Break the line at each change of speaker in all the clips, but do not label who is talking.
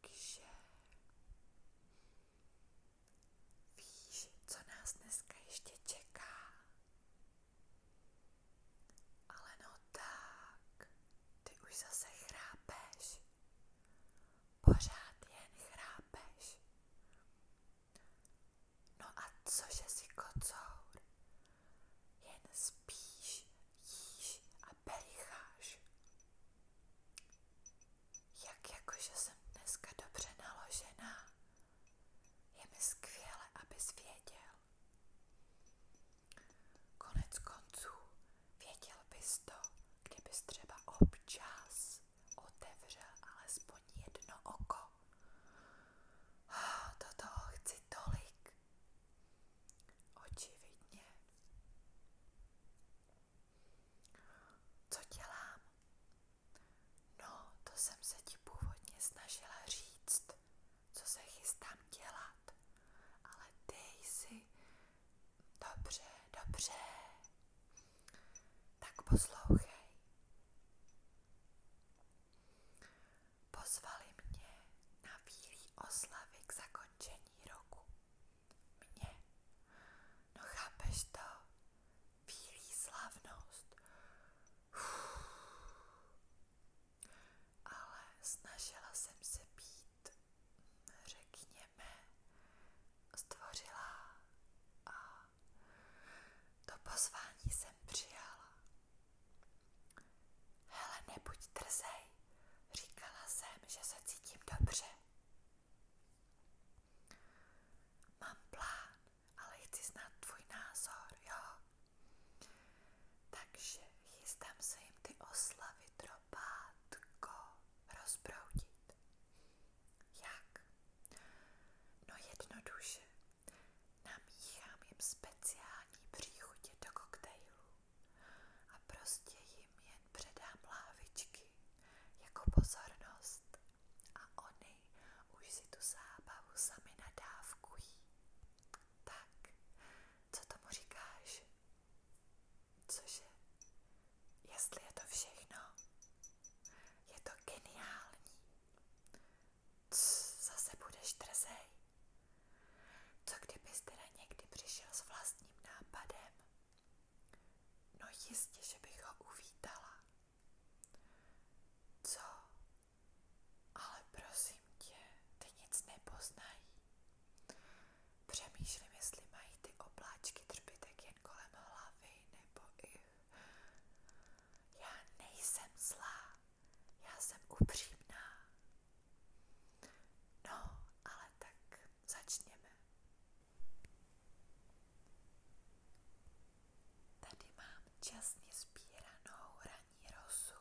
Takže víš, co nás dneska ještě čeká? Ale no tak, ty už zase chrápeš. Pořád jen chrápeš. No a cože si kocour? Jen spíš, jíš a pericháš. Jak jakože jsem dneska dobře naložená. Je skvěle, abys věděl. Konec konců věděl bys to, kdybys třeba občas otevřel alespoň jedno oko do toho chci tolik. Očividně. Co dělám? No, to jsem se ti původně snažila říct, co se chystám dělat, ale ty jsi dobře, dobře. Tak poslouchej. Pozvali mě na bílý oslavy k zakončení roku. Mě. No chápeš to? Bílý slavnost. Uf. Ale snažila jsem se být, řekněme, stvořila a to pozvání jsem přijala. Hele, nebuď trzej, říkala jsem, že se cítím dobře. Mám plán, ale chci znát tvůj názor, jo? Takže chystám se jim ty oslavy tropátko rozproudit. Jak? No jednoduše. Namíchám jim speciální příchutě do koktejlu a prostě jim jen předám lávičky jako pozornost a oni už si tu zábavu sami nadávkují. Tak, co tomu říkáš? Cože? Jestli je to všechno? Je to geniální. zase budeš trzej. Co kdybys někdy přišel s vlastním nápadem? No jistě, že bych ho uvítala. Co? Ale prosím tě, ty nic nepoznají. Přemýšlím, jestli mají ty obláčky trpitek jen kolem hlavy nebo i já nejsem zlá, já jsem upřímná. No, ale tak začněme. Tady mám časně sbíranou raní rosu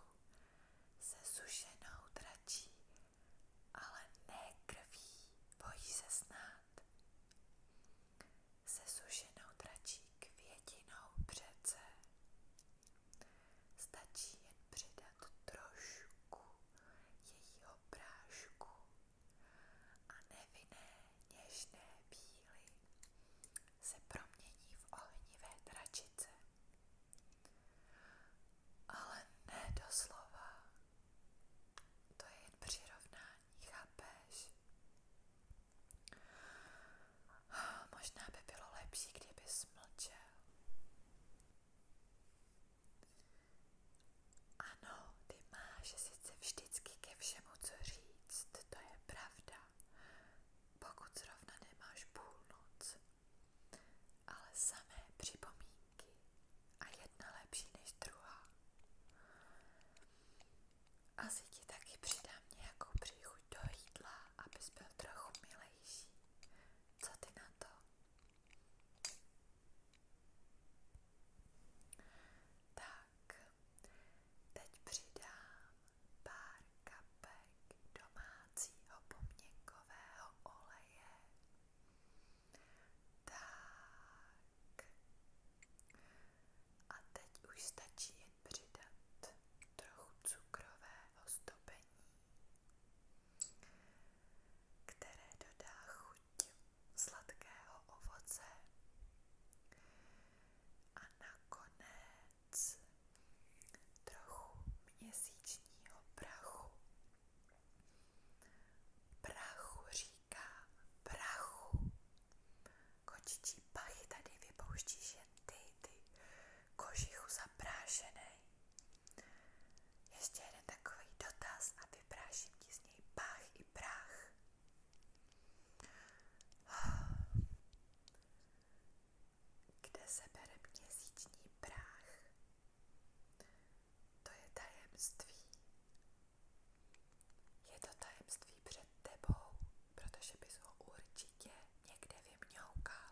se sušenou dračí, ale ne krví, bojí se snad se sušenou dračí květinou přece. Stačí jen přidat trošku jejího prášku a nevinné něžné bíly se promění v ohnivé dračice. Ale ne doslova, to je jen přirovnání, chápeš? Možná by bylo lepší, kdyby smlčel. Ano, ty máš sice vždycky ke všemu co říct, to je pravda, pokud zrovna nemáš půlnoc. Ale samé připomínky myšlenky a jedna lepší než druhá. Asi ti taky přidám nějakou příchuť do jídla, abys byl trochu milejší. Co ty na to? Tak, teď přidám pár kapek domácího poměnkového oleje. Tak. A teď už stačí jen přidat trochu cukrového stopení, které dodá chuť sladkého ovoce. A nakonec trochu měsíčního prachu. Prachu říká prachu. Kočičí pachy tady vypouštíš jen ty, ty kožichu zaprášenej. Ještě jeden takový dotaz a vypráším ti z něj pach i prach. Kde se bere měsíční prach? To je tajemství. Je to tajemství před tebou, protože bys ho určitě někde vymňoukal.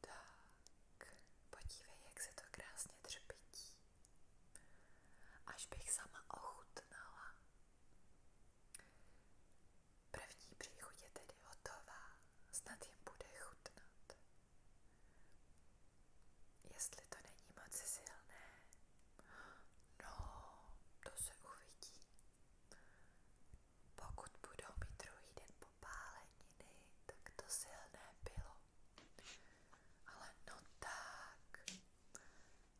Tak, podívej, jak se to krásně třpití. Až bych sama ochutnala. První příchuť je tedy hotová, snad jim bude chutnat. Jestli to není moc silné, no, to se uvidí. Pokud budou mít druhý den popáleniny, tak to silné bylo. Ale no tak,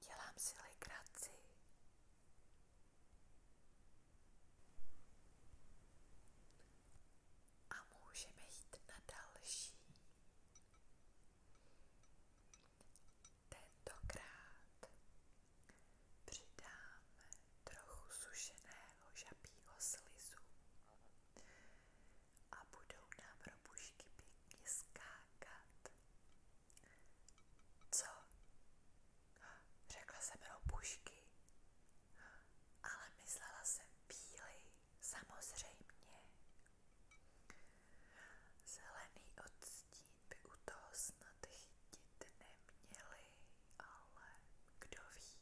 dělám si legraci a můžeme jít na další. Tentokrát přidáme trochu sušeného žabího slizu a budou nám robušky pěkně skákat. Co? Řekla jsem robušky ale myslela jsem bílý, samozřejmě. Zelený odstín by u toho snad chytit neměli, ale kdo ví.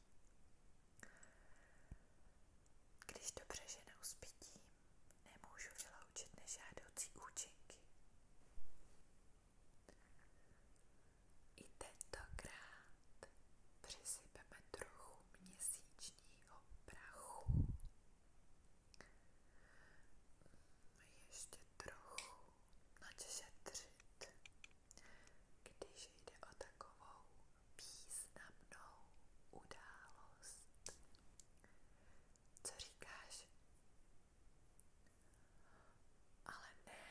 Když dobře ženou s pitím, nemůžu vyloučit nežádoucí účinky. I tentokrát přisypeme trochu měsíčního prachu. Ještě trochu načešetřit, když jde o takovou významnou událost. Co říkáš? Ale ne.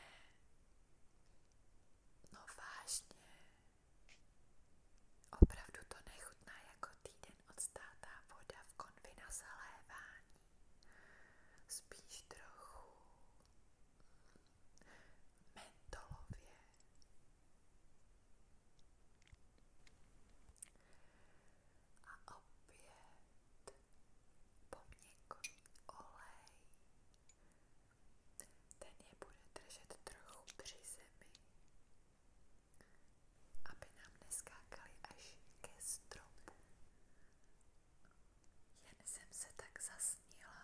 No vážně. Opravdu to nechutná jako týden odstátá voda v konvi na zalévání. Spíš trochu mentolově. A opět poměnkový olej. Ten je bude držet trochu při zemi, aby nám neskákali až ke stropu. Jen jsem se tak zasnila.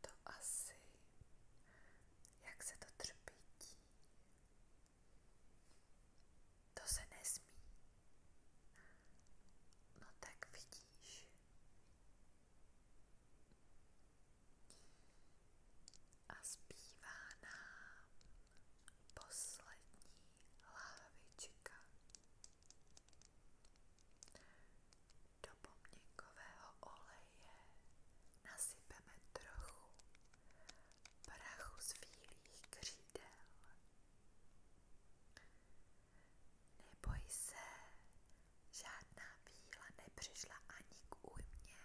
To asi, jak se to třpítí to se nesmí. No tak vidíš. A zpívá nám poslední lávička do pomněnkového oleje nasypeme trochu prachu svých křídel. Neboj se, žádná víla nepřišla ani k újmě,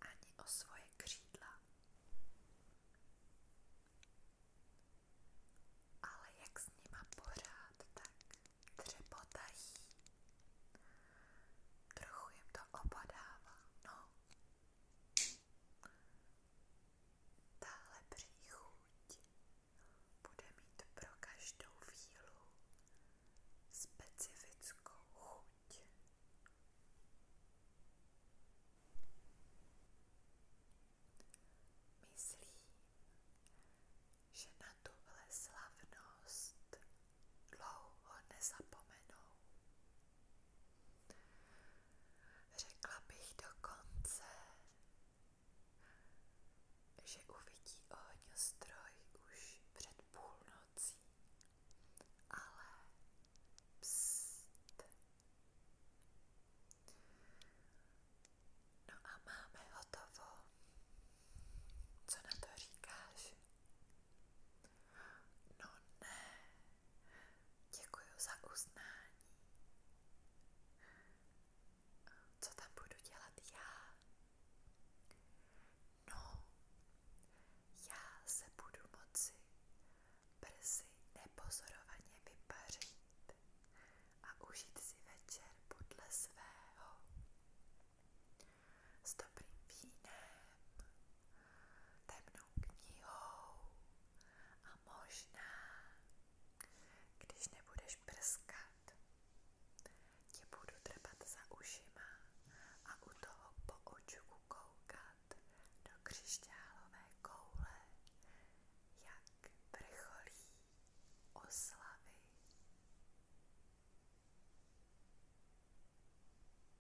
ani o svoje křídla. Ale jak s nima pořád, tak třepotají. Trochu jim to opadává, no. Tahle příchuť bude mít pro každou vílu specifickou chuť. Myslím, že na tuhle slavnost dlouho nezapomenou. Řekla bych dokonce, že uvidí ohňostroj už před půlnocí, ale pst. No a máme hotovo. Co na to říkáš? No ne, děkuji za uznání. Co tam budu dělat já? No, já se budu moci brzy nepozorovaně vypařit a užít si večer podle svého. S dobrým vínem temnou knihou a možná, když nebudeš prskat, ti budu trpat za ušima a u toho po očku koukat do křišťálové koule, jak vrcholí oslavy.